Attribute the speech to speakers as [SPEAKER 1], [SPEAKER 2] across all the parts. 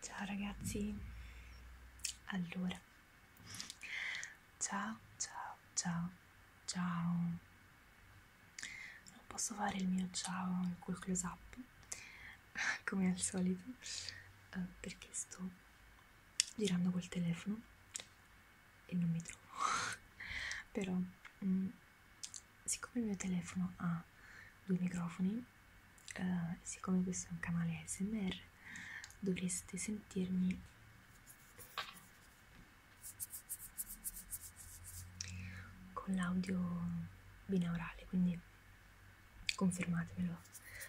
[SPEAKER 1] Ciao ragazzi, allora, ciao, ciao, ciao, ciao, non posso fare il mio ciao col close up come al solito eh, perché sto girando col telefono e non mi trovo, però mm, siccome il mio telefono ha due microfoni e uh, siccome questo è un canale ASMR dovreste sentirmi con l'audio binaurale quindi confermatemelo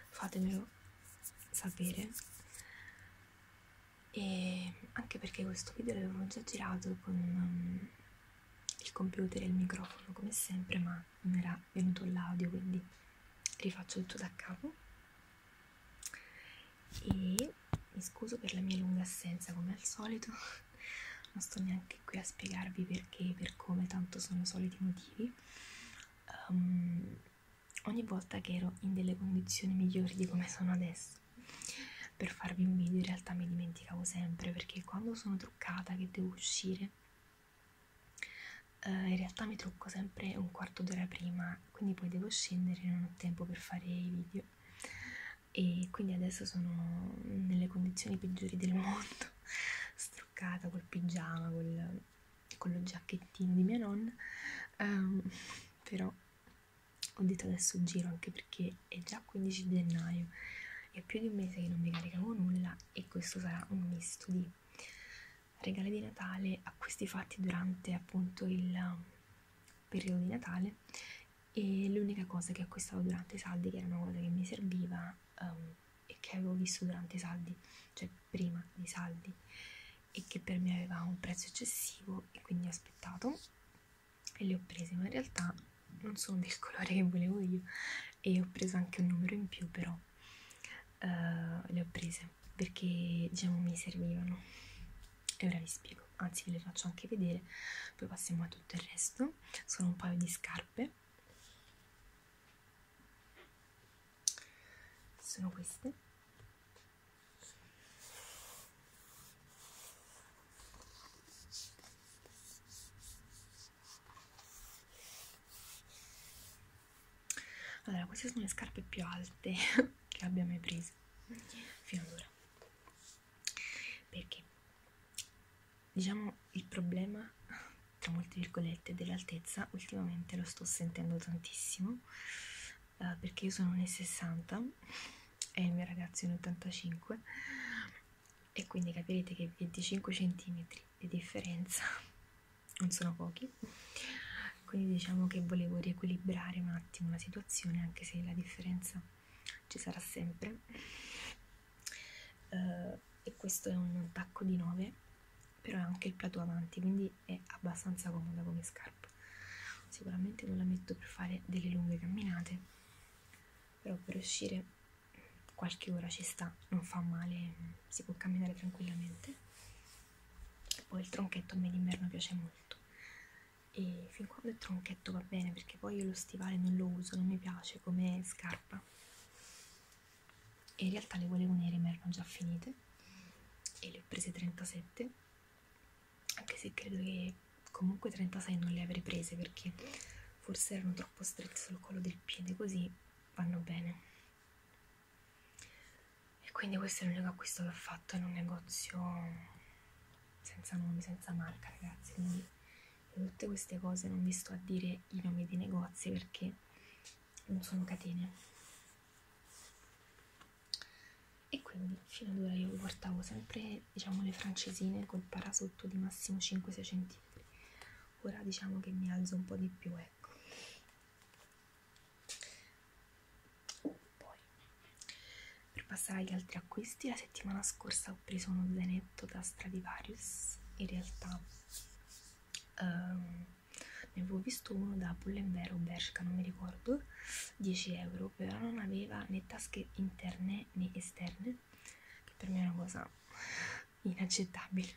[SPEAKER 1] fatemelo sapere e anche perché questo video l'avevo già girato con um, il computer e il microfono come sempre ma non era venuto l'audio quindi rifaccio tutto da capo e mi scuso per la mia lunga assenza come al solito non sto neanche qui a spiegarvi perché per come tanto sono soliti motivi um, ogni volta che ero in delle condizioni migliori di come sono adesso per farvi un video in realtà mi dimenticavo sempre perché quando sono truccata che devo uscire eh, in realtà mi trucco sempre un quarto d'ora prima quindi poi devo scendere e non ho tempo per fare i video e quindi adesso sono nelle condizioni peggiori del mondo struccata col pigiama col, con lo giacchettino di mia nonna um, però ho detto adesso giro anche perché è già 15 gennaio è più di un mese che non vi caricavo nulla e questo sarà un misto di regali di Natale acquisti fatti durante appunto il um, periodo di Natale e l'unica cosa che acquistavo durante i saldi che era una cosa che mi serviva um, e che avevo visto durante i saldi cioè prima dei saldi e che per me aveva un prezzo eccessivo e quindi ho aspettato e le ho prese ma in realtà non sono del colore che volevo io e ho preso anche un numero in più però uh, le ho prese perché diciamo mi servivano e ora vi spiego anzi ve le faccio anche vedere poi passiamo a tutto il resto sono un paio di scarpe sono queste allora, queste sono le scarpe più alte che abbia mai preso finora. Perché diciamo il problema, tra molte virgolette, dell'altezza ultimamente lo sto sentendo tantissimo. Uh, perché io sono un 60 è il mio ragazzo in 85 e quindi capirete che 25 cm di differenza non sono pochi quindi diciamo che volevo riequilibrare un attimo la situazione anche se la differenza ci sarà sempre uh, e questo è un tacco di 9 però è anche il plato avanti quindi è abbastanza comoda come scarpa sicuramente non la metto per fare delle lunghe camminate però per uscire qualche ora ci sta non fa male si può camminare tranquillamente e poi il tronchetto a me d'inverno piace molto e fin quando il tronchetto va bene perché poi io lo stivale non lo uso non mi piace come scarpa e in realtà le volevo nere ma erano già finite e le ho prese 37 anche se credo che comunque 36 non le avrei prese perché forse erano troppo strette sul collo del piede così vanno bene e quindi questo è l'unico acquisto che ho fatto in un negozio senza nomi, senza marca ragazzi quindi per tutte queste cose non vi sto a dire i nomi dei negozi perché non sono catene e quindi fino ad ora io portavo sempre diciamo le francesine col parasotto di massimo 5-6 cm ora diciamo che mi alzo un po' di più ecco poi per passare agli altri acquisti la settimana scorsa ho preso uno zainetto da Stradivarius in realtà um, ne avevo visto uno da Pull&Vero Bershka, non mi ricordo, 10 euro, però non aveva né tasche interne né esterne, che per me è una cosa inaccettabile.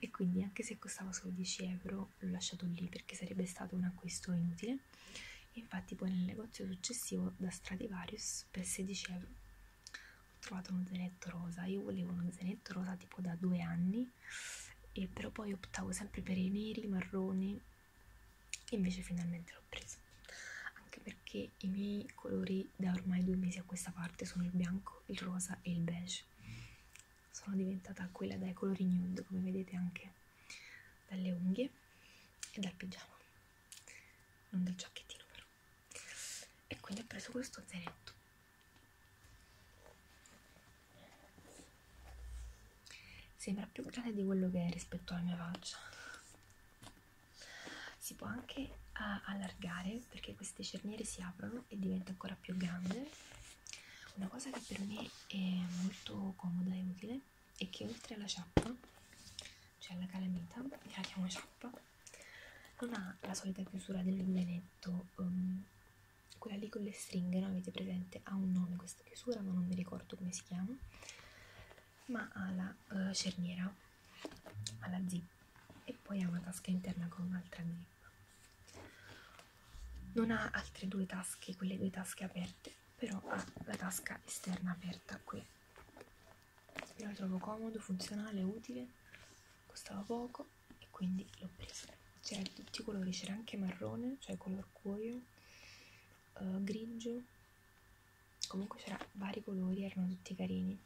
[SPEAKER 1] E quindi, anche se costava solo 10 euro, l'ho lasciato lì perché sarebbe stato un acquisto inutile. E infatti, poi nel negozio successivo da Stradivarius per 16 euro ho trovato uno zainetto rosa. Io volevo uno zainetto rosa tipo da due anni, e però poi optavo sempre per i neri, i marroni invece finalmente l'ho presa anche perché i miei colori da ormai due mesi a questa parte sono il bianco, il rosa e il beige sono diventata quella dai colori nude come vedete anche dalle unghie e dal pigiama non del giacchettino però e quindi ho preso questo zainetto Sembra più grande di quello che è rispetto alla mia faccia. Si può anche uh, allargare perché queste cerniere si aprono e diventa ancora più grande. Una cosa che per me è molto comoda e utile è che oltre alla ciappa, cioè alla calamita, che la chiamo ciappa, non ha la solita chiusura del benetto, um, quella lì con le stringhe, no? Avete presente? Ha un nome questa questa chiusura ma non mi ricordo come si chiama ma ha la uh, eh, cerniera ha la zip e poi ha una tasca interna con un'altra zip non ha altre due tasche quelle due tasche aperte però ha la tasca esterna aperta qui io la trovo comodo funzionale utile costava poco e quindi l'ho presa c'era di tutti i colori c'era anche marrone cioè color cuoio uh, eh, grigio comunque c'era vari colori erano tutti carini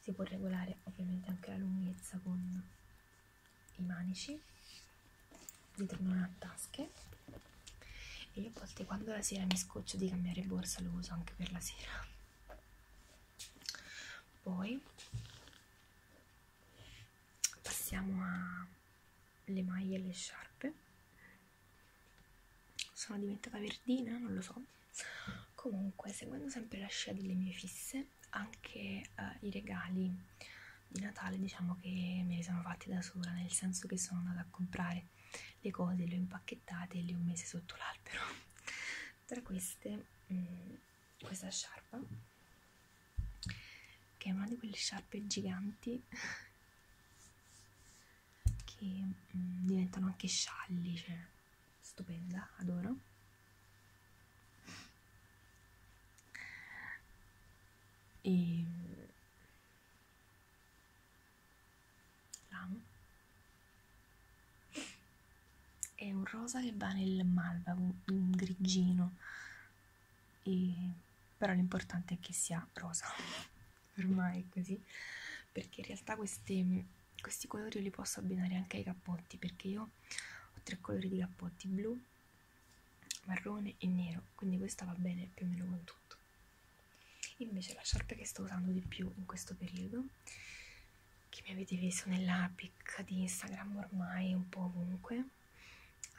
[SPEAKER 1] si può regolare ovviamente anche la lunghezza con i manici dietro non ha tasche e io a volte quando la sera mi scoccio di cambiare borsa lo uso anche per la sera poi passiamo a le maglie e le sciarpe sono diventata verdina non lo so comunque seguendo sempre la scia delle mie fisse anche eh, i regali di Natale diciamo che me li sono fatti da sola nel senso che sono andata a comprare le cose le ho impacchettate e le ho messe sotto l'albero tra queste mh, mm, questa sciarpa che è una di quelle sciarpe giganti che mh, mm, diventano anche scialli, cioè stupenda, adoro. E mm, l'amo. È un rosa che va nel malva, un grigino e, però l'importante è che sia rosa ormai così perché in realtà queste, questi colori li posso abbinare anche ai cappotti perché io ho tre colori di cappotti blu marrone e nero quindi questa va bene più o meno con tutto invece la sciarpa che sto usando di più in questo periodo che mi avete visto nella pic di Instagram ormai un po' ovunque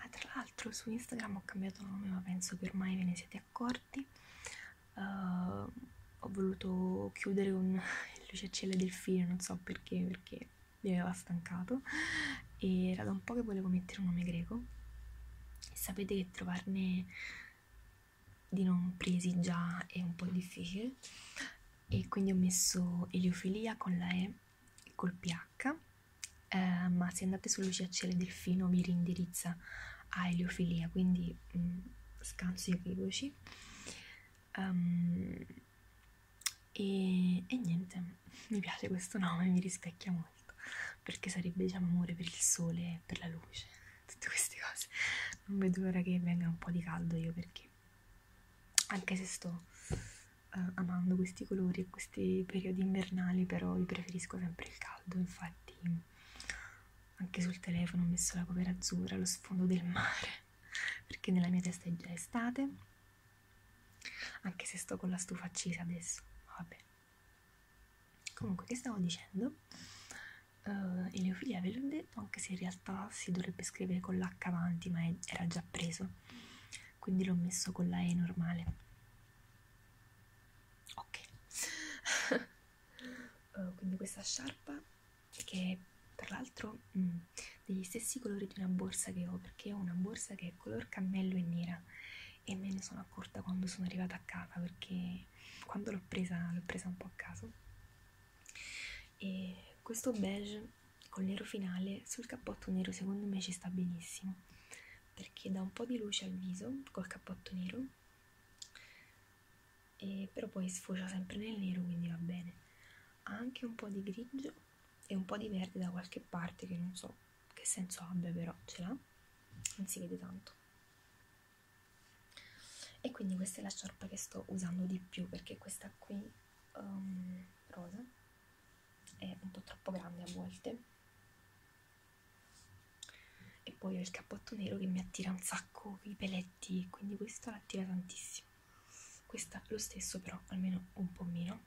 [SPEAKER 1] ah, tra l'altro su Instagram ho cambiato nome ma penso che ormai ve ne siete accorti uh, ho voluto chiudere con il luciacciello del filo non so perché perché mi aveva stancato e era da un po' che volevo mettere un nome greco e sapete che trovarne di non presi già è un po' difficile e quindi ho messo eliofilia con la E col pH, eh, ma se andate su luce del delfino vi rindirizza a eliofilia, quindi mh, mm, scanso i equivoci. Um, ehm, e, e niente, mi piace questo nome, mi rispecchia molto, perché sarebbe diciamo amore per il sole, per la luce, tutte queste cose. Non vedo l'ora che venga un po' di caldo io perché, anche se sto eh, amando questi colori e questi periodi invernali, però io preferisco sempre il caldo, infatti anche sul telefono ho messo la covera azzurra, lo sfondo del mare, perché nella mia testa è già estate, anche se sto con la stufa accesa adesso, vabbè. Comunque, che stavo dicendo? Uh, eh, Eleofilia ve l'ho detto, anche se in realtà si dovrebbe scrivere con l'H avanti, ma è, era già preso quindi l'ho messo con la E normale ok uh, quindi questa sciarpa che è tra l'altro mm, degli stessi colori di una borsa che ho perché ho una borsa che è color cammello e nera e me ne sono accorta quando sono arrivata a casa perché quando l'ho presa l'ho presa un po' a caso e questo beige col nero finale sul cappotto nero secondo me ci sta benissimo perché dà un po' di luce al viso col cappotto nero e però poi sfocia sempre nel nero quindi va bene ha anche un po' di grigio e un po' di verde da qualche parte che non so che senso abbia però ce l'ha non si vede tanto e quindi questa è la sciarpa che sto usando di più perché questa qui um, rosa è appunto troppo grande a volte e poi ho il cappotto nero che mi attira un sacco i peletti quindi questo l'attira tantissimo questa lo stesso però almeno un po' meno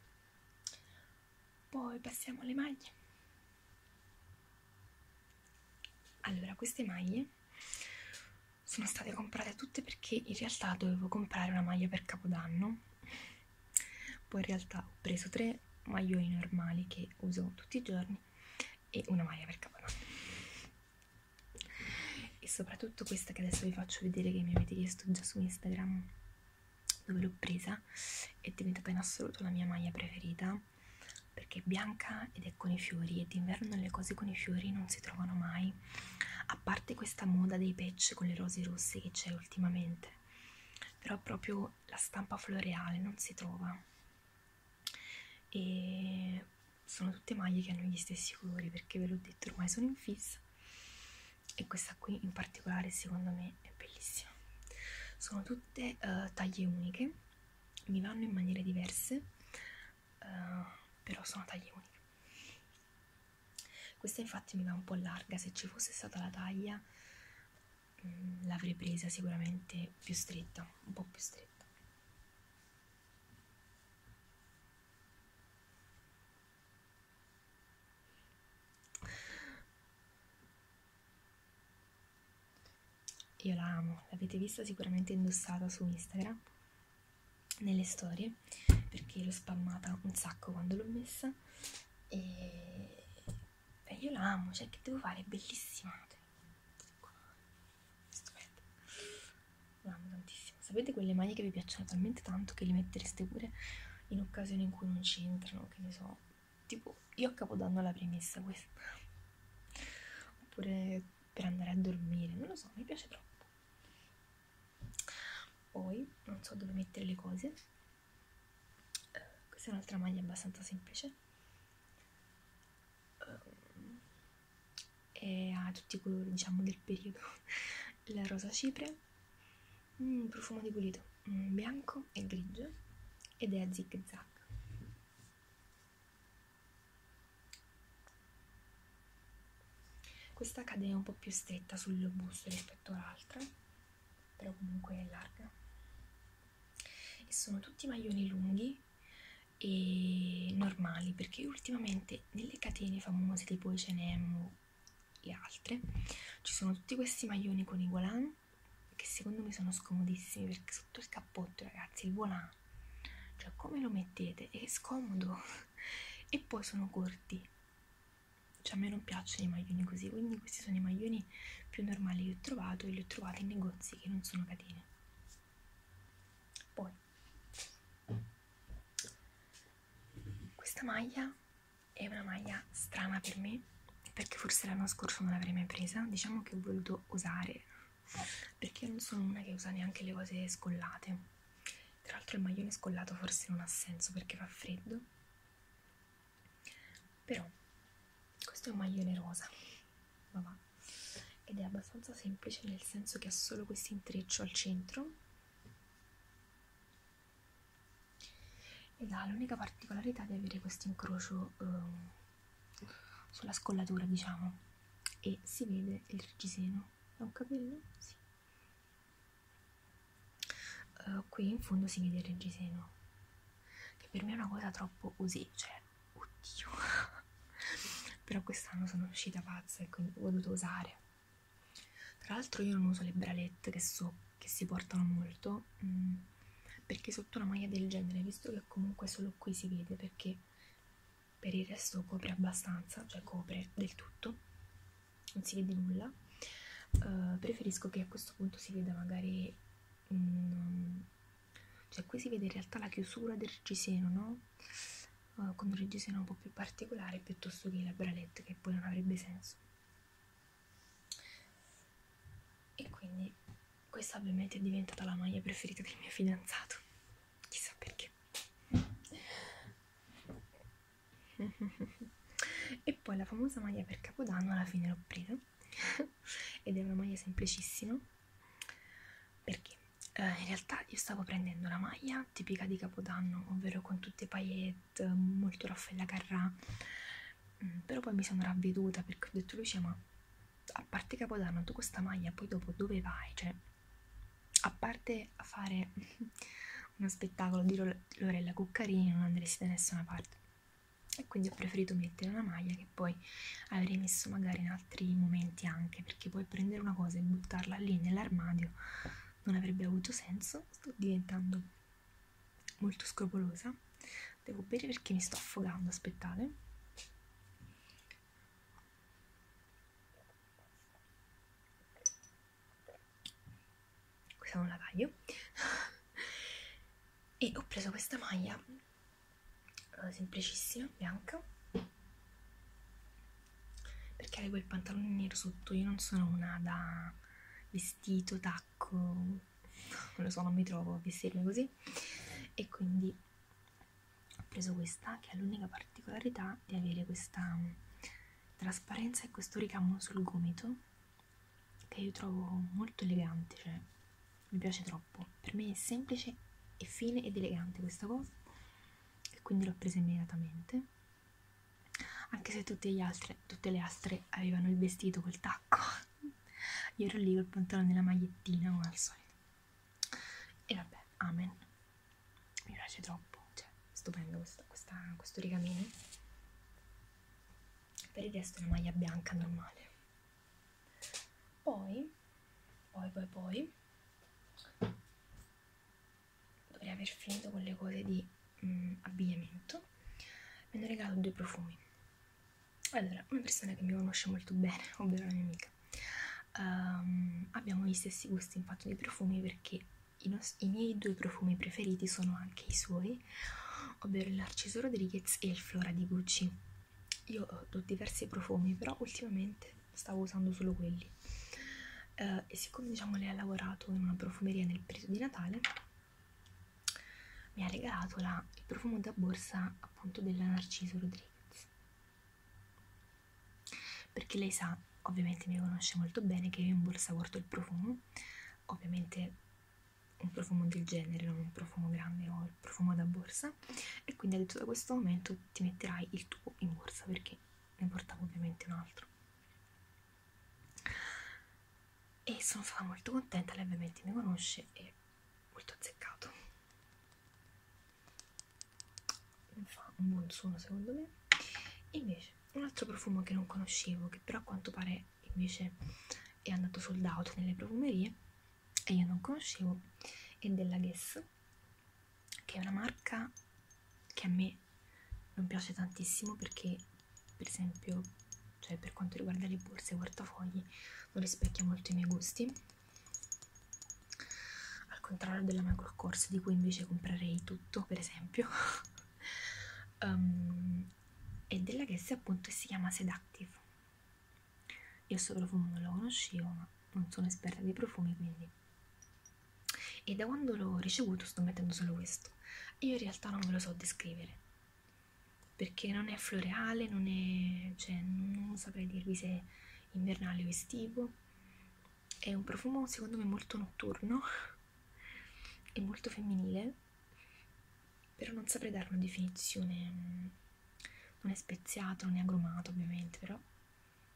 [SPEAKER 1] poi passiamo alle maglie allora queste maglie sono state comprate tutte perché in realtà dovevo comprare una maglia per capodanno poi in realtà ho preso tre maglioni normali che uso tutti i giorni e una maglia per capodanno e soprattutto questa che adesso vi faccio vedere che mi avete chiesto già su Instagram dove l'ho presa è diventata in assoluto la mia maglia preferita perché è bianca ed è con i fiori e d'inverno le cose con i fiori non si trovano mai a a parte questa moda dei patch con le rose rosse che c'è ultimamente, però proprio la stampa floreale non si trova e sono tutte maglie che hanno gli stessi colori perché ve l'ho detto ormai sono in fissa e questa qui in particolare secondo me è bellissima sono tutte uh, taglie uniche mi vanno in maniere diverse uh, però sono taglie uniche questa infatti mi va un po' larga, se ci fosse stata la taglia mm, l'avrei presa sicuramente più stretta, un po' più stretta. Io la amo, l'avete vista sicuramente indossata su Instagram nelle storie perché l'ho spammata un sacco quando l'ho messa e Beh, io la amo, cioè che devo fare? È bellissima. Stupendo. La amo tantissimo. Sapete quelle maglie che vi piacciono talmente tanto che li mettereste pure in occasioni in cui non c'entrano, che ne so. Tipo, io a Capodanno la premessa questa. Oppure per andare a dormire, non lo so, mi piace troppo poi non so dove mettere le cose uh, questa è un'altra maglia abbastanza semplice um, ehm, e ha tutti i colori diciamo del periodo la rosa cipre mm, profumo di pulito mm, bianco e grigio ed è a zig zag questa cade un po' più stretta sul busto rispetto all'altra, però comunque è larga. E sono tutti maglioni lunghi e normali perché ultimamente nelle catene famose tipo H&M e altre ci sono tutti questi maglioni con i volant che secondo me sono scomodissimi perché sotto il cappotto ragazzi il volant ma cioè come lo mettete? È scomodo e poi sono corti. Cioè a me non piacciono i maglioni così, quindi questi sono i maglioni più normali che ho trovato e li ho trovati in negozi che non sono catene. Poi questa maglia è una maglia strana per me perché forse l'anno scorso non l'avrei mai presa, diciamo che ho voluto osare perché io non sono una che usa neanche le cose scollate tra l'altro il maglione scollato forse non ha senso perché fa freddo. Però questo è un maglione rosa, vabbè, ed è abbastanza semplice nel senso che ha solo questo intreccio al centro ed ha l'unica particolarità di avere questo incrocio eh, sulla scollatura diciamo e si vede il reggiseno è un capello? Sì. Uh, qui in fondo si vede il reggiseno, che per me è una cosa troppo così, cioè, oddio. Però quest'anno sono uscita pazza e quindi ho voluto usare. Tra l'altro io non uso le bralette che so che si portano molto, mh, mm, perché sotto una maglia del genere, visto che comunque solo qui si vede, perché per il resto copre abbastanza, cioè copre del tutto, non si vede nulla. Uh, preferisco che a questo punto si veda magari, um, cioè qui si vede in realtà la chiusura del reggiseno, no? Uh, con un reggiseno un po' più particolare piuttosto che la bralette che poi non avrebbe senso. E quindi questa ovviamente è diventata la maglia preferita del mio fidanzato chissà perché e poi la famosa maglia per capodanno alla fine l'ho presa ed è una maglia semplicissima perché eh, in realtà io stavo prendendo una maglia tipica di capodanno ovvero con tutte paillette molto raffaella carrà mm, però poi mi sono ravveduta perché ho detto Lucia ma a parte capodanno tu questa maglia poi dopo dove vai cioè a parte fare uno spettacolo di Lorella Cuccarini non andresti da nessuna parte e quindi ho preferito mettere una maglia che poi avrei messo magari in altri momenti anche perché poi prendere una cosa e buttarla lì nell'armadio non avrebbe avuto senso sto diventando molto scrupolosa devo bere perché mi sto affogando aspettate questa non la taglio e ho preso questa maglia eh, semplicissima, bianca perché avevo il pantalone nero sotto io non sono una da vestito, tacco non lo so, non mi trovo a vestirmi così e quindi ho preso questa che ha l'unica particolarità di avere questa mm, trasparenza e questo ricamo sul gomito che io trovo molto elegante cioè mi piace troppo per me è semplice e fine ed elegante questa cosa e quindi l'ho presa immediatamente anche se tutte, gli altre, tutte le altre avevano il vestito col tacco io ero lì col pantalone e la magliettina come al solito e vabbè, amen. Mi piace troppo, cioè, stupendo questa, questa, questo rigamino. Per il resto è una maglia bianca normale. Poi, poi, poi, poi, dovrei aver finito con le cose di mm, abbigliamento. Mi hanno regalato due profumi. Allora, una persona che mi conosce molto bene, ovvero la mia amica Musk. Um, ehm, abbiamo gli stessi gusti in fatto di profumi perché i, i miei due profumi preferiti sono anche i suoi, ovvero il Narciso Rodriguez e il Flora di Gucci. Io ho diversi profumi, però ultimamente stavo usando solo quelli. Uh, e siccome diciamo lei ha lavorato in una profumeria nel periodo di Natale, mi ha regalato la, il profumo da borsa appunto della Narciso Rodriguez perché lei sa, ovviamente mi conosce molto bene, che io in borsa porto il profumo, ovviamente un profumo del genere, non un profumo grande o il profumo da borsa, e quindi ha detto da questo momento ti metterai il tuo in borsa perché ne portavo ovviamente un altro. E sono stata molto contenta, lei ovviamente mi conosce e molto azzeccato fa un buon suono secondo me invece un altro profumo che non conoscevo che però a quanto pare invece è andato sold out nelle profumerie e io non conoscevo è della Guess che è una marca che a me non piace tantissimo perché per esempio cioè per quanto riguarda le borse e portafogli non rispecchia molto i miei gusti al contrario della macro corsa di cui invece comprerei tutto per esempio um, e della Guess appunto si chiama Seductive io sto profumo non lo conoscevo ma non sono esperta dei profumi quindi e da quando l'ho ricevuto sto mettendo solo questo io in realtà non ve lo so descrivere perché non è floreale non è cioè non saprei dirvi se invernale o estivo è un profumo secondo me molto notturno e molto femminile però non saprei dare una definizione mm, non è speziato non è agrumato ovviamente però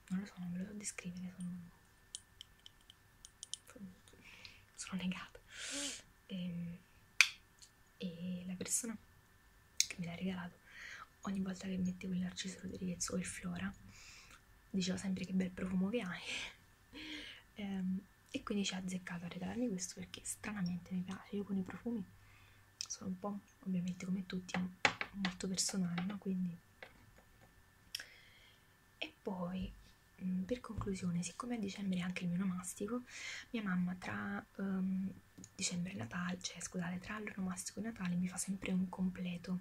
[SPEAKER 1] non lo so non lo so descrivere sono sono negata e, ehm, e la persona che me l'ha regalato ogni volta che mettevo il Narciso Rodriguez o il Flora diceva sempre che bel profumo che hai ehm, e quindi ci ha azzeccato a regalarmi questo perché stranamente mi piace io con i profumi sono un po' ovviamente come tutti molto personale no quindi e poi mm, per conclusione siccome a dicembre è anche il mio nomastico mia mamma tra um, dicembre Natale, cioè scusate, tra l'anno romastico e Natale mi fa sempre un completo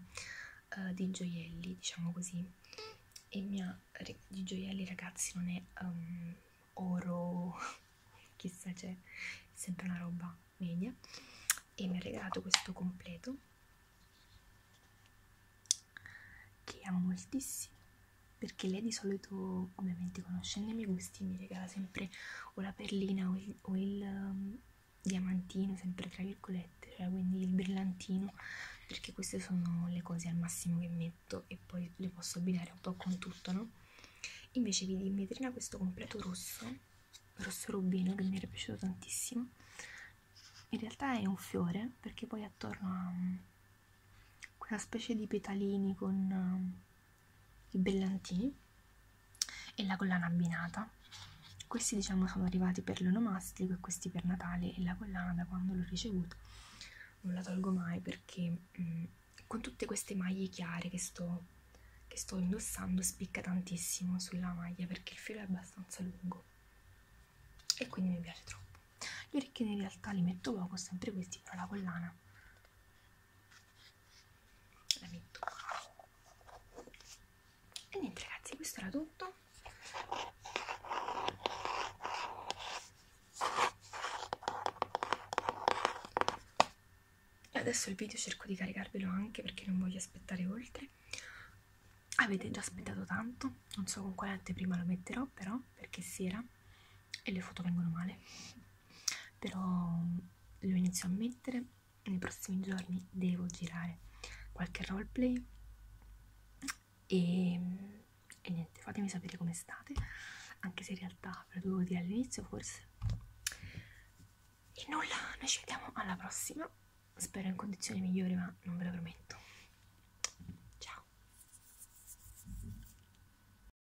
[SPEAKER 1] uh, di gioielli, diciamo così. E mia di gioielli, ragazzi, non è um, oro, chissà, c'è cioè, sempre una roba media. E mi ha regalato questo completo che amo moltissimo perché lei di, solo, solito ovviamente conoscendo i miei gusti mi regala sempre o la perlina o il, o il um, diamantino sempre tra virgolette cioè quindi il brillantino perché queste sono le cose al massimo che metto e poi le posso abbinare un po' con tutto no? invece vedi in vetrina questo completo rosso rosso rubino che mi era piaciuto tantissimo in realtà è un fiore perché poi attorno a um, quella specie di petalini con um, i bellantini e la collana abbinata questi diciamo sono arrivati per l'onomastico e questi per Natale e la collana da quando l'ho ricevuta non la tolgo mai perché mh, mm, con tutte queste maglie chiare che sto, che sto indossando spicca tantissimo sulla maglia perché il filo è abbastanza lungo e quindi mi piace troppo gli orecchini in realtà li metto poco sempre questi però la collana la metto e niente ragazzi questo era tutto e adesso il video cerco di caricarvelo anche perché non voglio aspettare oltre avete già aspettato tanto non so con quale anteprima lo metterò però perché è sera e le foto vengono male però lo inizio a mettere nei prossimi giorni devo girare qualche roleplay e, e niente fatemi sapere come state anche se in realtà ve lo dovevo dire all'inizio forse e nulla noi ci vediamo alla prossima spero in condizioni migliori ma non ve lo prometto ciao